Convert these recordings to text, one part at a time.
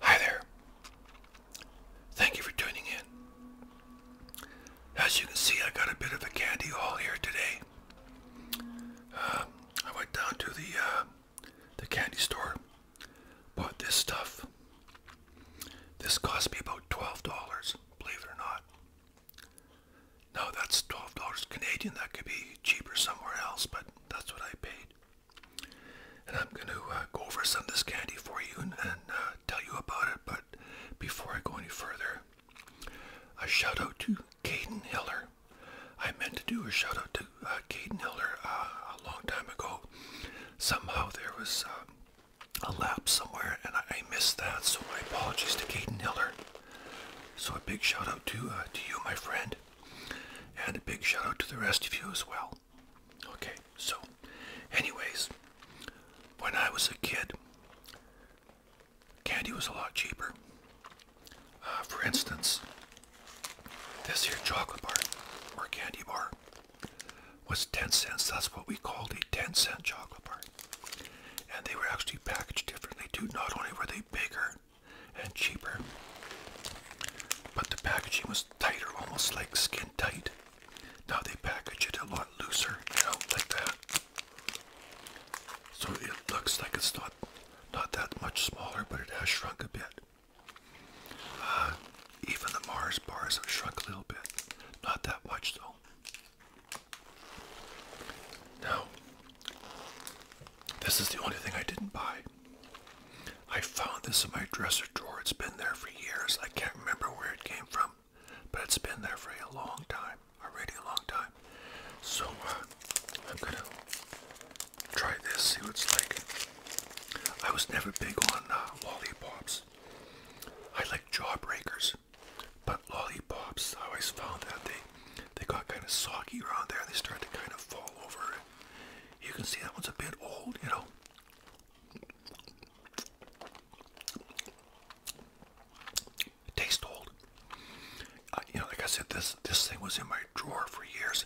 Hi there. Thank you for tuning in. As you can see, I got a bit of a candy haul here today. Uh, I went down to the uh, the candy store Bought this stuff. This cost me about $12, believe it or not. Now that's $12 Canadian. That could be cheaper somewhere else, but that's what I paid. And I'm going to uh, go over some of this candy for you and, uh, tell you about it. But before I go any further, a shout out to Caden Hiller. I meant to do a shout out to uh, Kaden Caden Hiller uh, a long time ago. Somehow there was uh, a lapse somewhere and I, missed that, so my apologies to Kaden Hiller. So a big shout out to, to you, my friend, and a big shout out to the rest of you as well. Okay, so anyways, when I was a kid, candy was a lot cheaper. for instance, this here chocolate bar or candy bar was 10 cents. That's what we called a 10 cent chocolate bar. And they were actually packaged differently too. Not only were they bigger and cheaper, but the packaging was tighter, almost like skin tight. Now they package it a lot looser, you know, like that. So it looks like it's not not that much smaller, but it has shrunk a bit. Uh, even the Mars bars have shrunk a little bit. Not that much though. Now, this is the only thing I didn't buy. I found this in my dresser drawer. It's been there for years. I can't remember where it came from, but it's been there for a long time, already a long time. So uh, I'm gonna Try this, see what it's like. I was never big on uh, lollipops. I like jawbreakers, but lollipops, I always found that they, they got kind of soggy around there. They start to kind of fall over. You can see that one's a bit old, you know. It tastes old. you know, like I said, this this thing was in my drawer for years.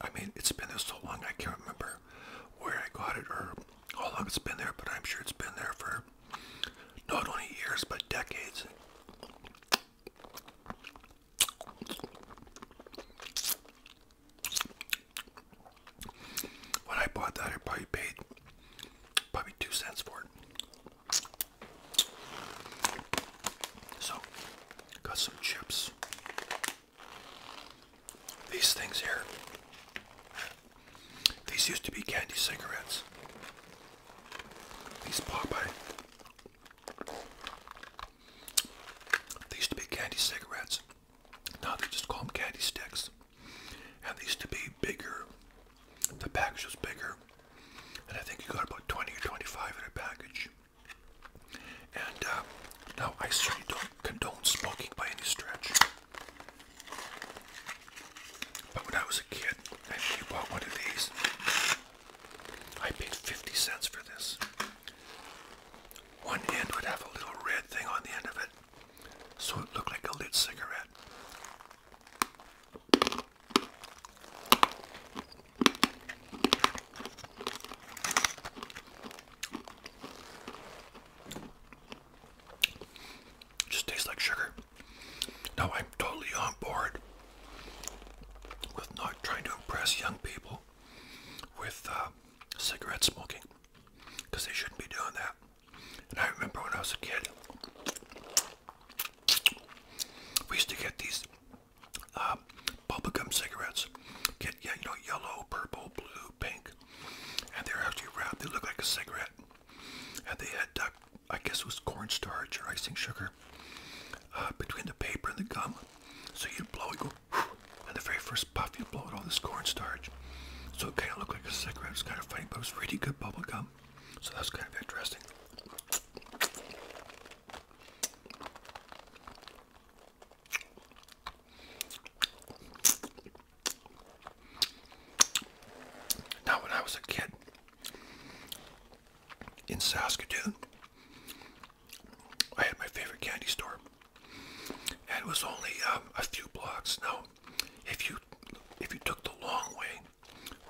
I mean, it's been there so long, I can't remember where I got it or how long it's been there, but I'm sure it's been there for not only years, but decades. When I bought that, I probably paid probably two cents for it. So, got some chips. These things here. These used to be candy cigarettes. These Popeye. These used to be candy cigarettes. Now they just call them candy sticks. And these used to be bigger. The package was bigger. And I think you got about 20 or 25 in a package. And uh, now I certainly don't condone smoking by any stretch. But when I was a kid, I you bought one of these. I paid 50 cents for this. One end would have a little red thing on the end of it, so it looked like a lit cigarette. Just tastes like sugar. Now I'm totally on board with not trying to impress young people with uh, cigarette smoking because they shouldn't be doing that. And I remember when I was a kid, we used to get these uh, gum cigarettes. Get yeah, you know, yellow, purple, blue, pink, and they're actually wrapped. They look like a cigarette, and they had, uh, I guess, it was cornstarch or icing sugar uh, between the paper and the gum. So you blow, you go, and the very first puff, you blow it all this cornstarch. So it kind of looked like a cigarette. It's kind of funny, but it was really good bubble gum. So that's kind of interesting. Now, when I was a kid in Saskatoon, I had my favorite candy store, and it was only um, a few blocks. Now, if you if you took the long way,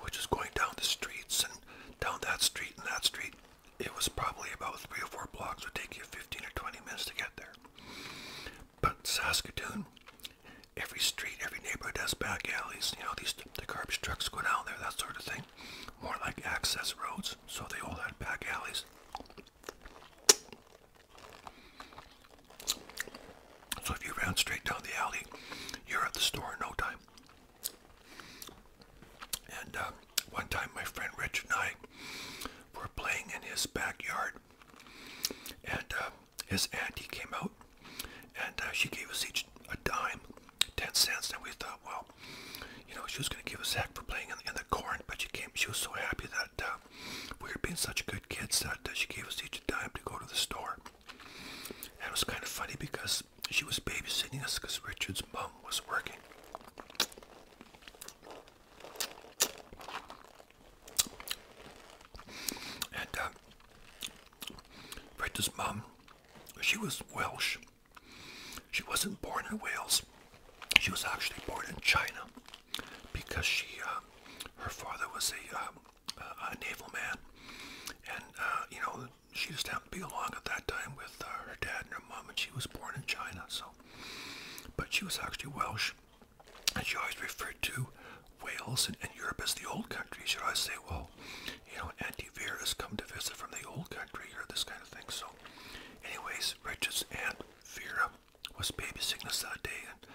which is going down the streets and down that street and that street, it was probably about three or four blocks, would take you 15 or 20 minutes to get there. But Saskatoon, every street, every neighborhood has back alleys. You know, these the garbage trucks go down there, that sort of thing. More like access roads, so they all had back alleys. So if you ran straight down the alley, you're at the store in no time. And uh, one time, my friend Rich and I were playing in his backyard, and uh, his auntie came out, and uh, she gave us each a dime, ten cents, and we thought, well, you know, she was going to give us heck for playing in, in, the corn, but she came. She was so happy that uh, we were being such good kids that she gave us each a dime to go to the store. And it was kind of funny because she was babysitting us because Richard's mom was working. And uh, Britta's mom, she was Welsh. She wasn't born in Wales. She was actually born in China because she, uh, her father was um, a, a naval man, and uh, you know she just happened to be along at that time with her dad and her mom, and she was born in China. So but she was actually Welsh, and she always referred to Wales and, Europe as the old country. So I say, well, you know, Auntie Vera has come to visit from the old country or this kind of thing. So, anyways, Richard's Aunt Vera was babysitting us that day, and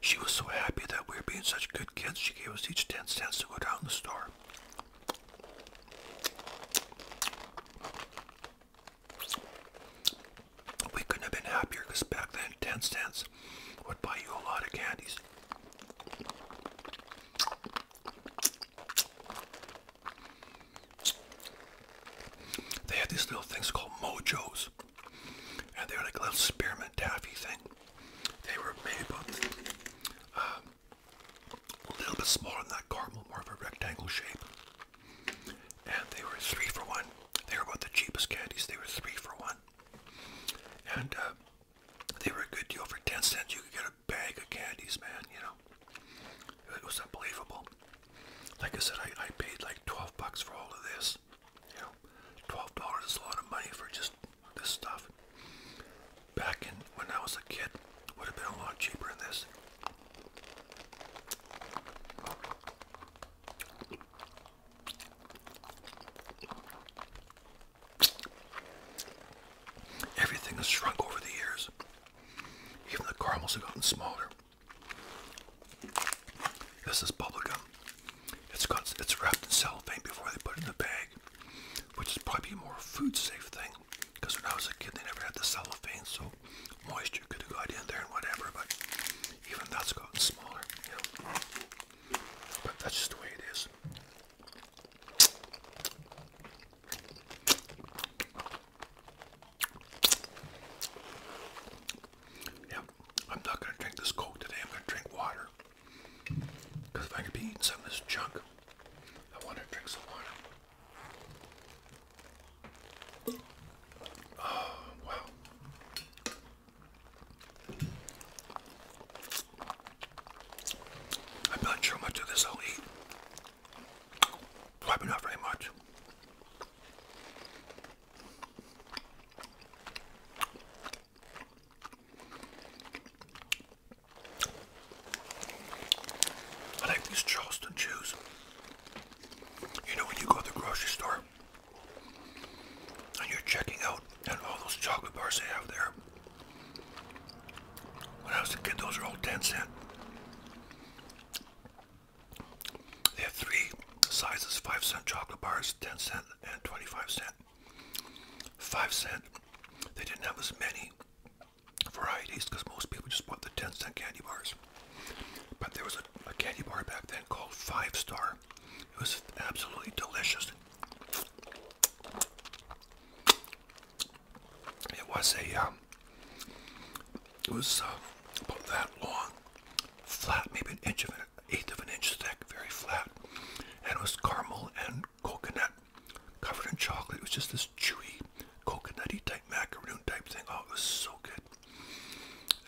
she was so happy that we were being such good kids, she gave us each 10 cents to go down the store. We couldn't have been happier because back then 10 cents would buy you a lot of candies. They had these little things called mojos. And they were like a spearmint taffy thing. They were made about uh, a little bit smaller than that caramel, more of a rectangle shape and they were three for one. They were about the cheapest candies. They were three for one, and uh, they were a good deal for ten cents. You could get a bag of candies, man. You know, it was unbelievable. Like I said, I, I paid like twelve bucks for all of this. You know, twelve dollars is a lot of money for just this stuff. Back in when I was a kid, would have been a lot cheaper than this. Everything has shrunk over the years. Even the caramels have gotten smaller. This is bubblegum. It's got it's wrapped in cellophane before they put it in the bag, which is probably a more food safe thing. Because when I was a kid, they never had the cellophane, so moisture could have got in there and whatever, but even that's gotten smaller, you But that's just the way it is. Yeah, I'm not going to drink this Coke today. I'm going to drink water. Because if I could eating some of this junk, I want to drink some water. Oh, wow. I'm not sure much of this I'll eat. Probably not very much. I like these Charleston chews. You know when you go to the grocery store and you're checking out and all those chocolate bars they have there. When I was a kid, those were all 10 cent. They have three sizes, 5 cent chocolate bars, 10 cent, and 25 cent. 5 cent, they didn't have as many varieties because most people just bought the 10 cent candy bars. But there was a, candy bar back then called Five Star. It was absolutely delicious. It was a, um, it was uh, about that long, flat, maybe an inch of an eighth of an inch thick, very flat, and it was caramel and coconut covered in chocolate. It was just this chewy, coconutty type macaroon type thing. Oh, it was so good.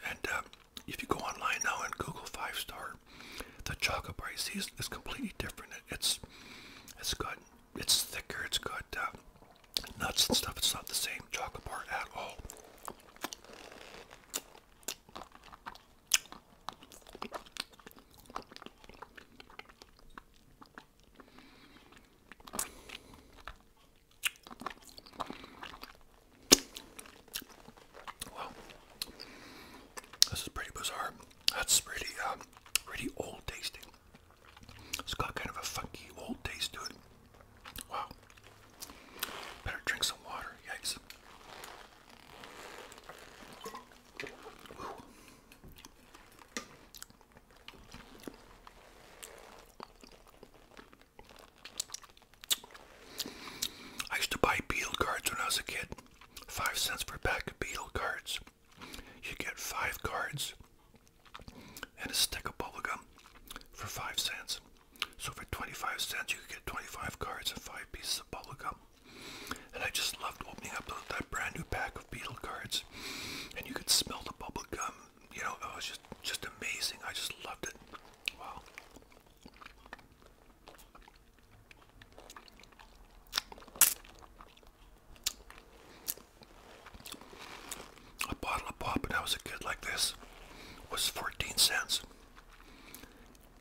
And uh, if you go online now and Google five star, the chocolate bar you is, is completely different. It's it's good. it's thicker. It's got uh, nuts and stuff. It's not the same chocolate bar at all. Well, this is pretty bizarre. That's pretty, um, pretty old tasting. It's got kind of a funky old taste to it. Wow. Better drink some water. Yikes. I used to buy Beetle cards when I was a kid. Five cents per pack of Beetle cards. You get five cards and a stick of bubble gum for five cents. So for 25 cents you could get 25 cards and five pieces of bubble gum. And I just loved opening up that brand new pack of Beetle cards. And you could smell the bubble gum you know, it was just just amazing. I just loved it. Wow. A bottle of pop when I was a kid like this was 14 cents.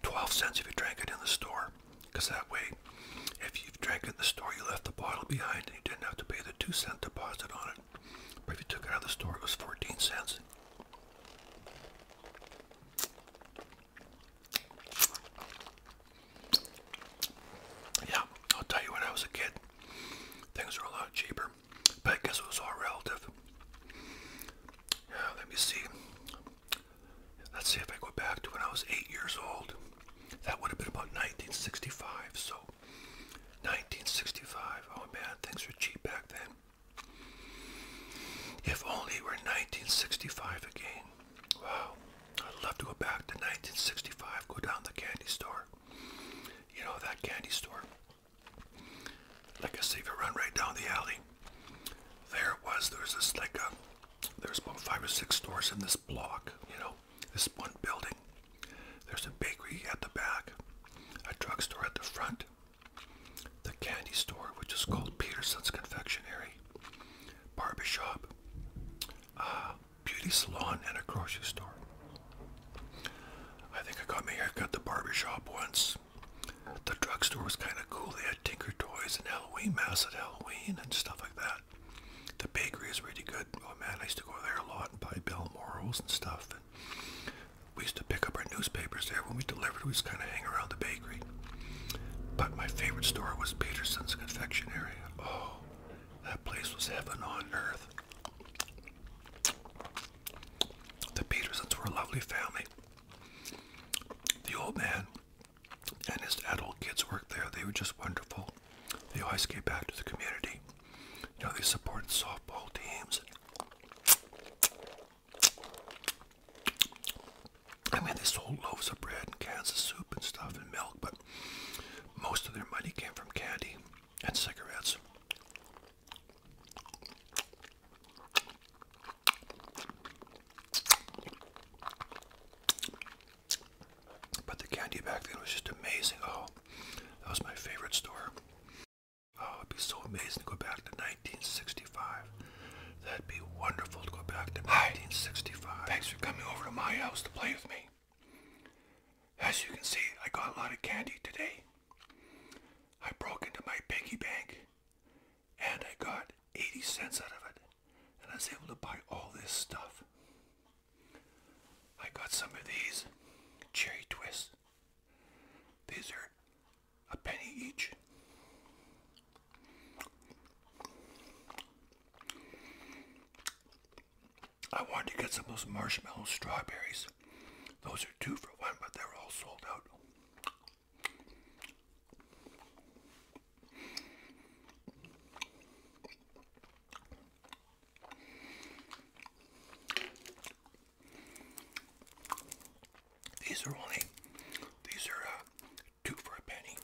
12 cents if you drank it in the store. Because that way, if you drank it in the store, you left the bottle behind and you didn't have to pay the 2 cent deposit on it. But if you took it out of the store, it was 14 cents. Yeah, I'll tell you when I was a kid, things were a lot cheaper. But guess it was all relative. Yeah, let me see. Let's see if I go back to when I was eight years old. That would have been about 1965, so 1965. Oh man, things were cheap back then. If only we're were 1965 again. Wow. I'd love to go back to 1965, go down the candy store. You know, that candy store. Like I say, if run right down the alley, there it was. There was this, like a, there's about five or six stores in this block, you know this one building. There's a bakery at the back, a drugstore at the front, the candy store, which is called Peterson's Confectionery, barbershop, uh, beauty salon, and a grocery store. I think I got my haircut at the barbershop once. The drugstore was kind of cool. They had Tinker Toys and Halloween masks at Halloween and stuff like that. The bakery is really good. Oh man, I used to go there a lot and buy Bell Morals and stuff. We used to pick up our newspapers there. When we delivered, we just kind of hang around the bakery. But my favorite store was Peterson's Confectionery. Oh, that place was heaven on earth. The Petersons were a lovely family. The old man and his adult kids worked there. They were just wonderful. They always gave back to the community. You know, they supported softball teams. I mean, they sold loaves of bread and cans of soup and stuff and milk, but most of their money came from candy and cigarettes. But the candy back then was just amazing. Oh, that was my favorite store. Oh, it'd be so amazing to go back to 1965. That'd be wonderful to go back to 1965. Thanks for coming over to my house to play with me. As you can see, I got a lot of candy today. I broke into my piggy bank and I got 80 cents out of it. And I was able to buy all this stuff. I got some of these cherry twists. These are a penny each. I wanted to get some of those marshmallow strawberries. Those are two for one, but they're all sold out. These are only, these are uh, two for a penny.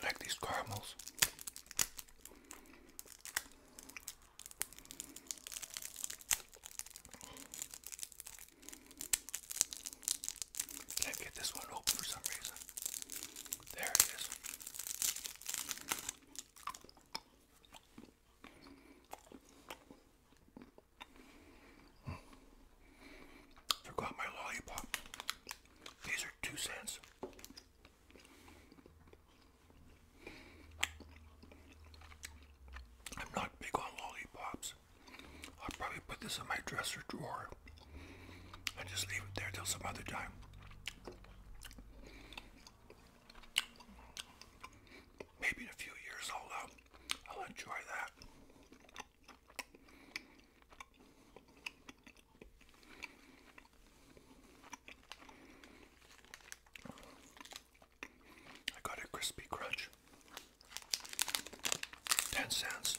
I like these caramels. Can't get this one open for some reason. There it is. Mm. Forgot my lollipop. These are two cents. I'm not big on lollipops. I'll probably put this in my dresser drawer and just leave it there till some other time. Maybe in a few years i uh, I'll enjoy that. I got a crispy crunch. 10 cents.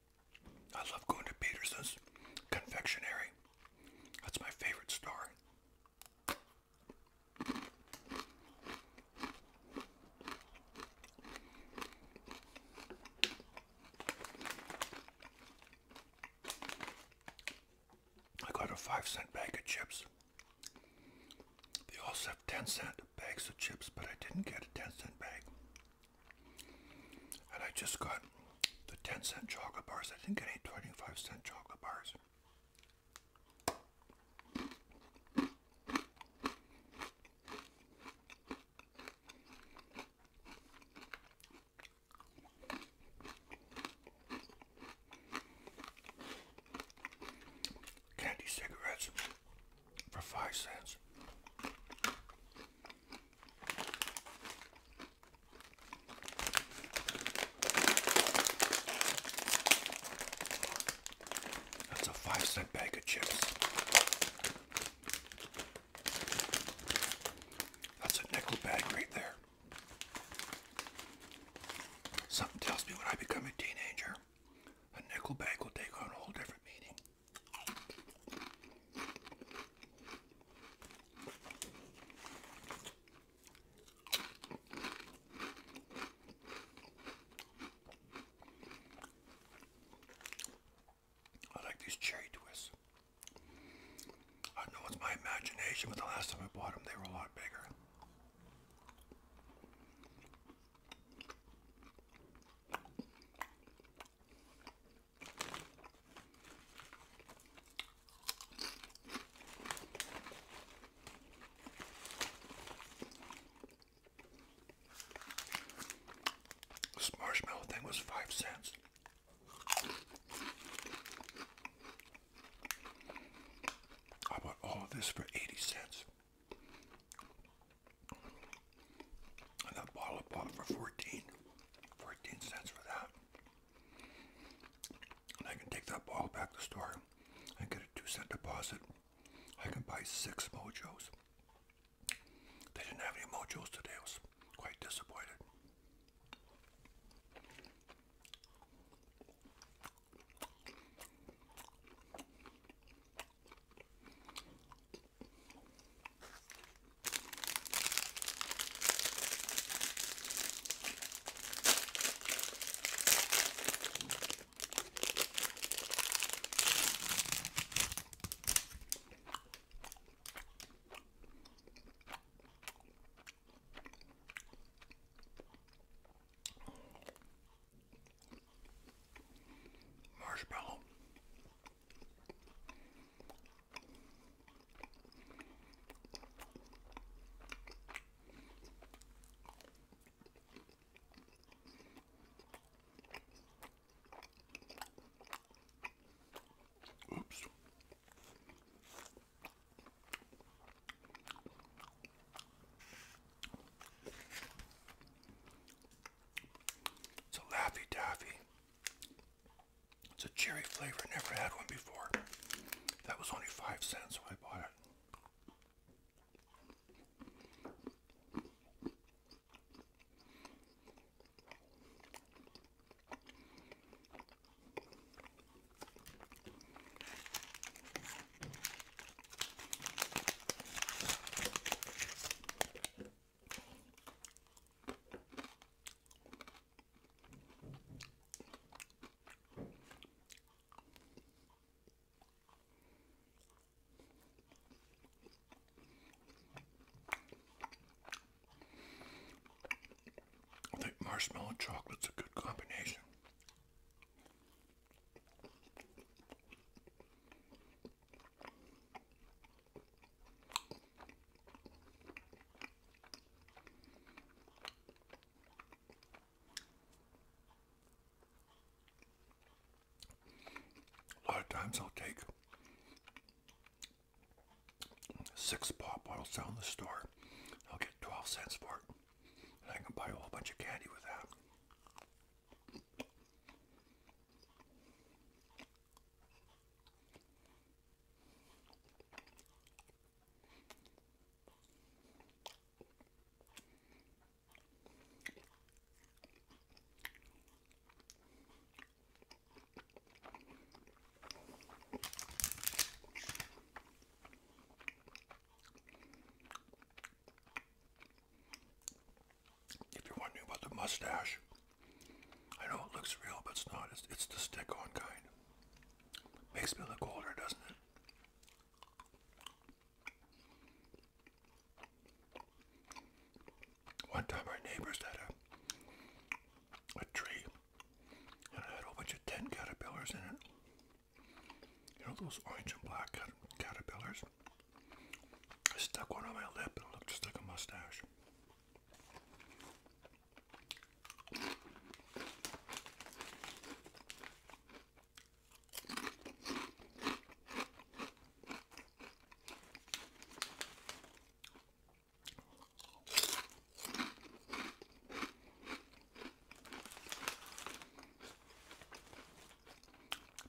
I love going to Peterson's Confectionery. That's my favorite store. I got a five cent bag of chips. They also have 10 cent bags of chips, but I didn't get a 10 cent bag. And I just got the 10 cent chocolate bars. I didn't get any 25 cent chocolate bars. Candy cigarettes for five cents. That's a five cent bag of chips. That's a nickel bag right there. Something tells me when I become a teenager, a nickel bag will take on a whole different meaning. I like these cherry twists. I know it's my imagination, but the last time I bought them, they were a lot bigger. This marshmallow thing was five cents. I bought all this for 80 cents. And a bottle of pop for 14. 14 cents for that. And I can take that ball back to the store and get a two cent deposit. I can buy six mojos. They didn't have any mojos today. I was quite disappointed. Marshmallow Oops. It's a Laffy Taffy it's a cherry flavor. Never had one before. That was only five cents when I bought it. I think marshmallow chocolate is a good combination. A lot of times I'll take six pop bottles down the store. I'll get 12 cents for it. And I can buy a whole bunch of candy with that. If you're wondering about the mustache, I know it looks real, but it's not. It's, the stick-on kind. Makes me look older, doesn't it? One time our neighbors had a, a tree and it had a bunch of tin caterpillars in it. You know those orange and black caterpillars? I stuck one on my lip and it looked just like a mustache.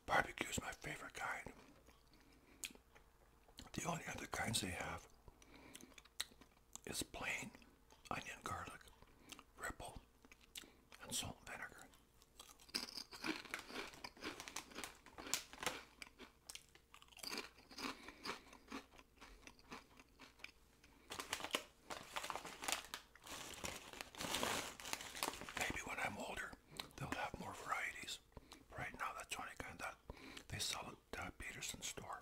Barbecue is my favorite kind. The only other kinds they have is plain onion, garlic, ripple, and salt vinegar. Maybe when I'm older, they'll have more varieties. Right now, that's only kind that they sell at uh, Peterson store.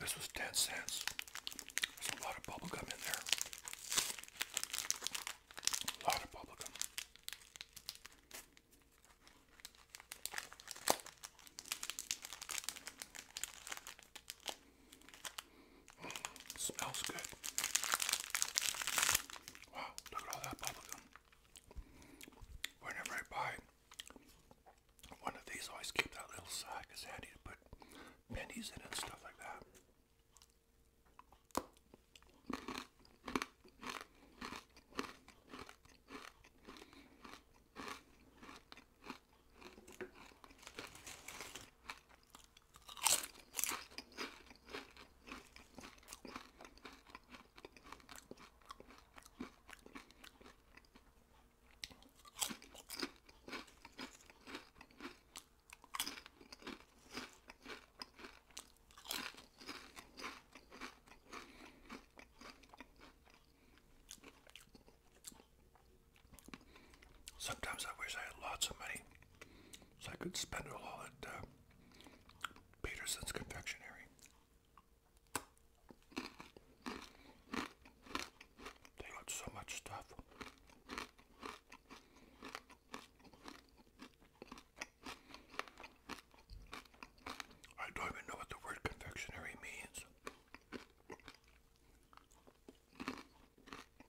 This was 10 cents. There's a lot of bubblegum in there. A lot of bubblegum. Mm, smells good. Wow, look at all that bubblegum. Whenever I buy one of these, I always keep that little sack. It's handy to put pennies in and stuff like that. Sometimes I wish I had lots of money so I could spend a all at uh, Peterson's Confectionery. They got so much stuff. I don't even know what the word confectionery means.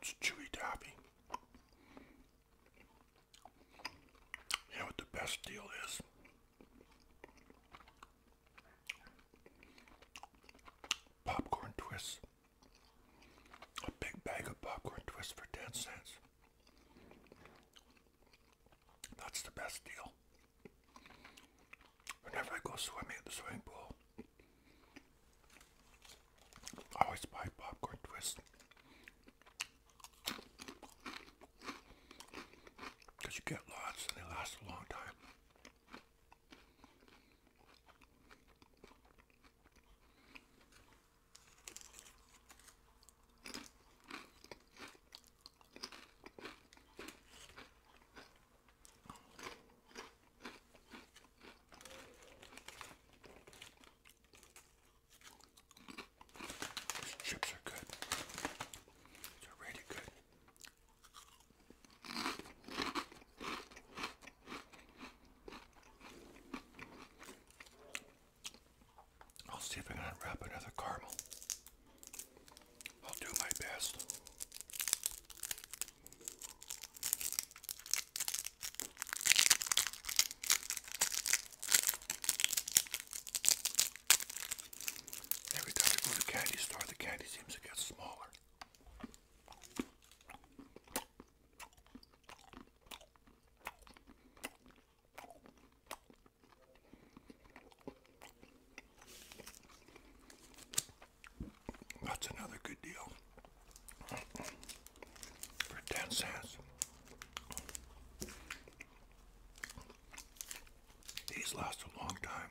It's chewy toppy. You know what the best deal is? Popcorn twists. A big bag of popcorn twist for 10 cents. That's the best deal. Whenever I go swimming at the swimming pool, I always buy popcorn twist. Because you get lots and they last a long time. These chips are good. They're really good. I'll see if I can unwrap another caramel. I'll do my best. Every time I go to the candy store, the candy seems to get smaller. That's another good deal for 10 cents. These last a long time.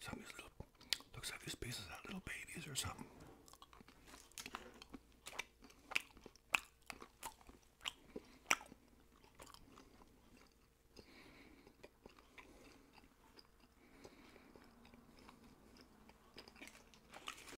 Some of these little, looks like these pieces are little babies or something.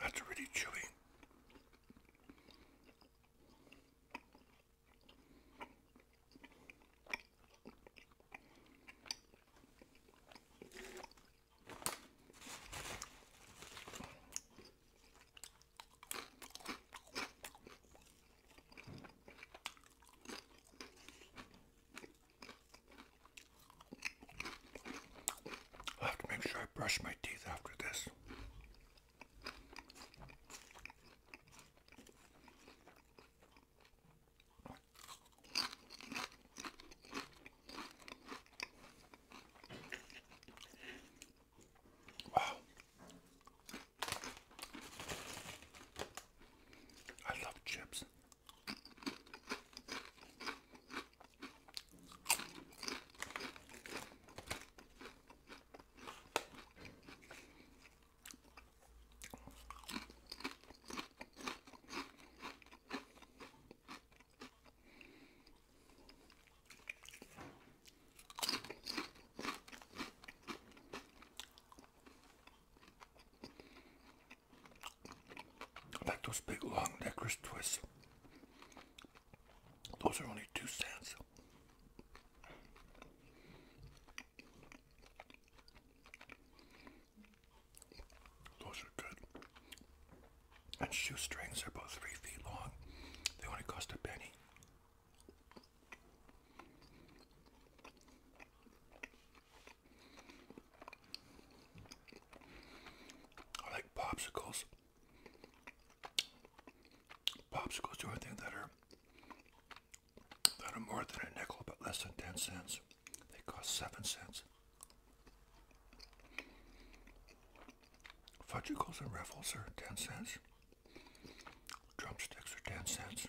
That's really chewy i have to make sure I brush my teeth after this. Wow. I love chips like those big long necklace twists. Those are only two cents. Those are good. And shoestrings are about three feet long. They only cost a penny. I like popsicles. Popsicles do anything that are that are more than a nickel but less than ten cents. They cost seven cents. Fudgicles and ruffles are ten cents. Drumsticks are ten cents.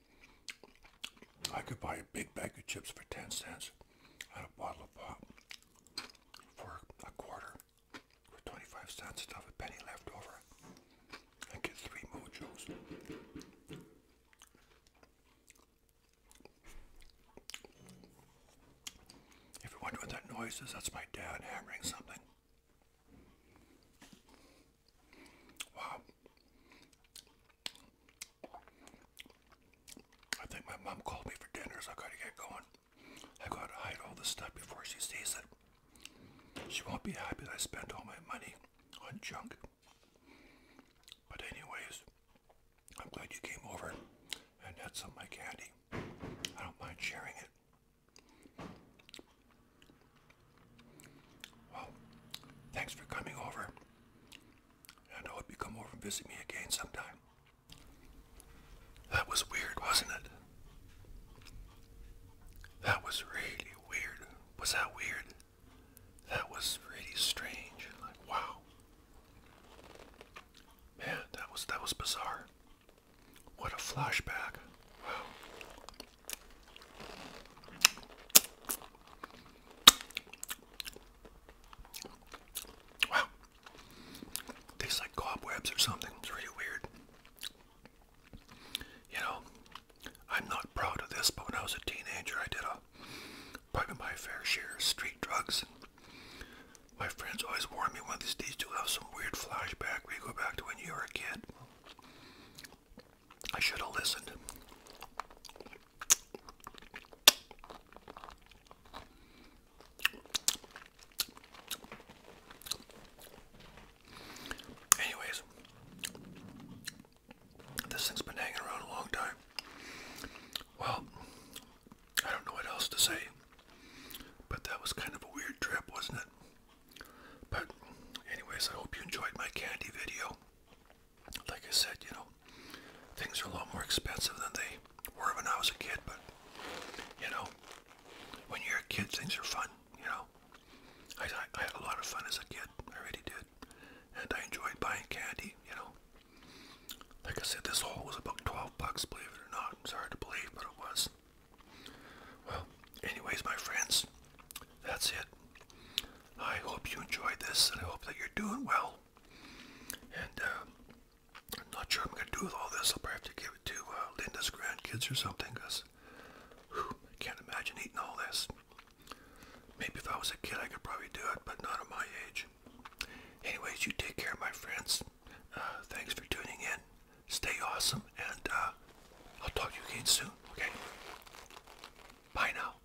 I could buy a big bag of chips for 10 cents and a bottle of pop for a quarter for 25 cents and have a penny left over and get three mojos. If you wonder what that noise is, that's my dad hammering something. Wow. I think my mom called me for dinner, so I gotta get going. I gotta hide all this stuff before she sees it. She won't be happy that I spent all my money on junk. But anyways, I'm glad you came over and had some of my candy. I don't mind sharing it. Well, thanks for coming over. And I hope you come over and visit me again sometime. That was weird, wasn't it? That was really weird. Was that weird? That was really strange. Like, wow. Man, that was that was bizarre. What a flashback. Wow. Wow. Tastes like cobwebs or something. It's really weird. You know, I'm not proud of this, but when I was a teenager, I did a probably my fair share of street drugs. My friends always warned me one of these days to have some weird flashback where go back to when you were a kid. I should have listened. Anyways, this thing's been hanging around a long time. Well, I don't know what else to say, but that was kind of a weird trip, wasn't it? But, anyways, I hope you enjoyed my candy video like I said, you know, things are a lot more expensive than they were when I was a kid, but you know, when you're a kid, things are fun, you know. I, I had a lot of fun as a kid, I really did, and I enjoyed buying candy, you know. Like I said, this haul was about 12 bucks, believe it or not. It's hard to believe, but it was. Well, anyways, my friends, that's it. I hope you enjoyed this, and I hope that you're doing well. And uh, I'm not sure what I'm going to do with all this. I'll probably have to give it to uh, Linda's grandkids or something because I can't imagine eating all this. Maybe if I was a kid, I could probably do it, but not at my age. Anyways, you take care, my friends. Uh, thanks for tuning in. Stay awesome, and I'll talk to you again soon, okay? Bye now.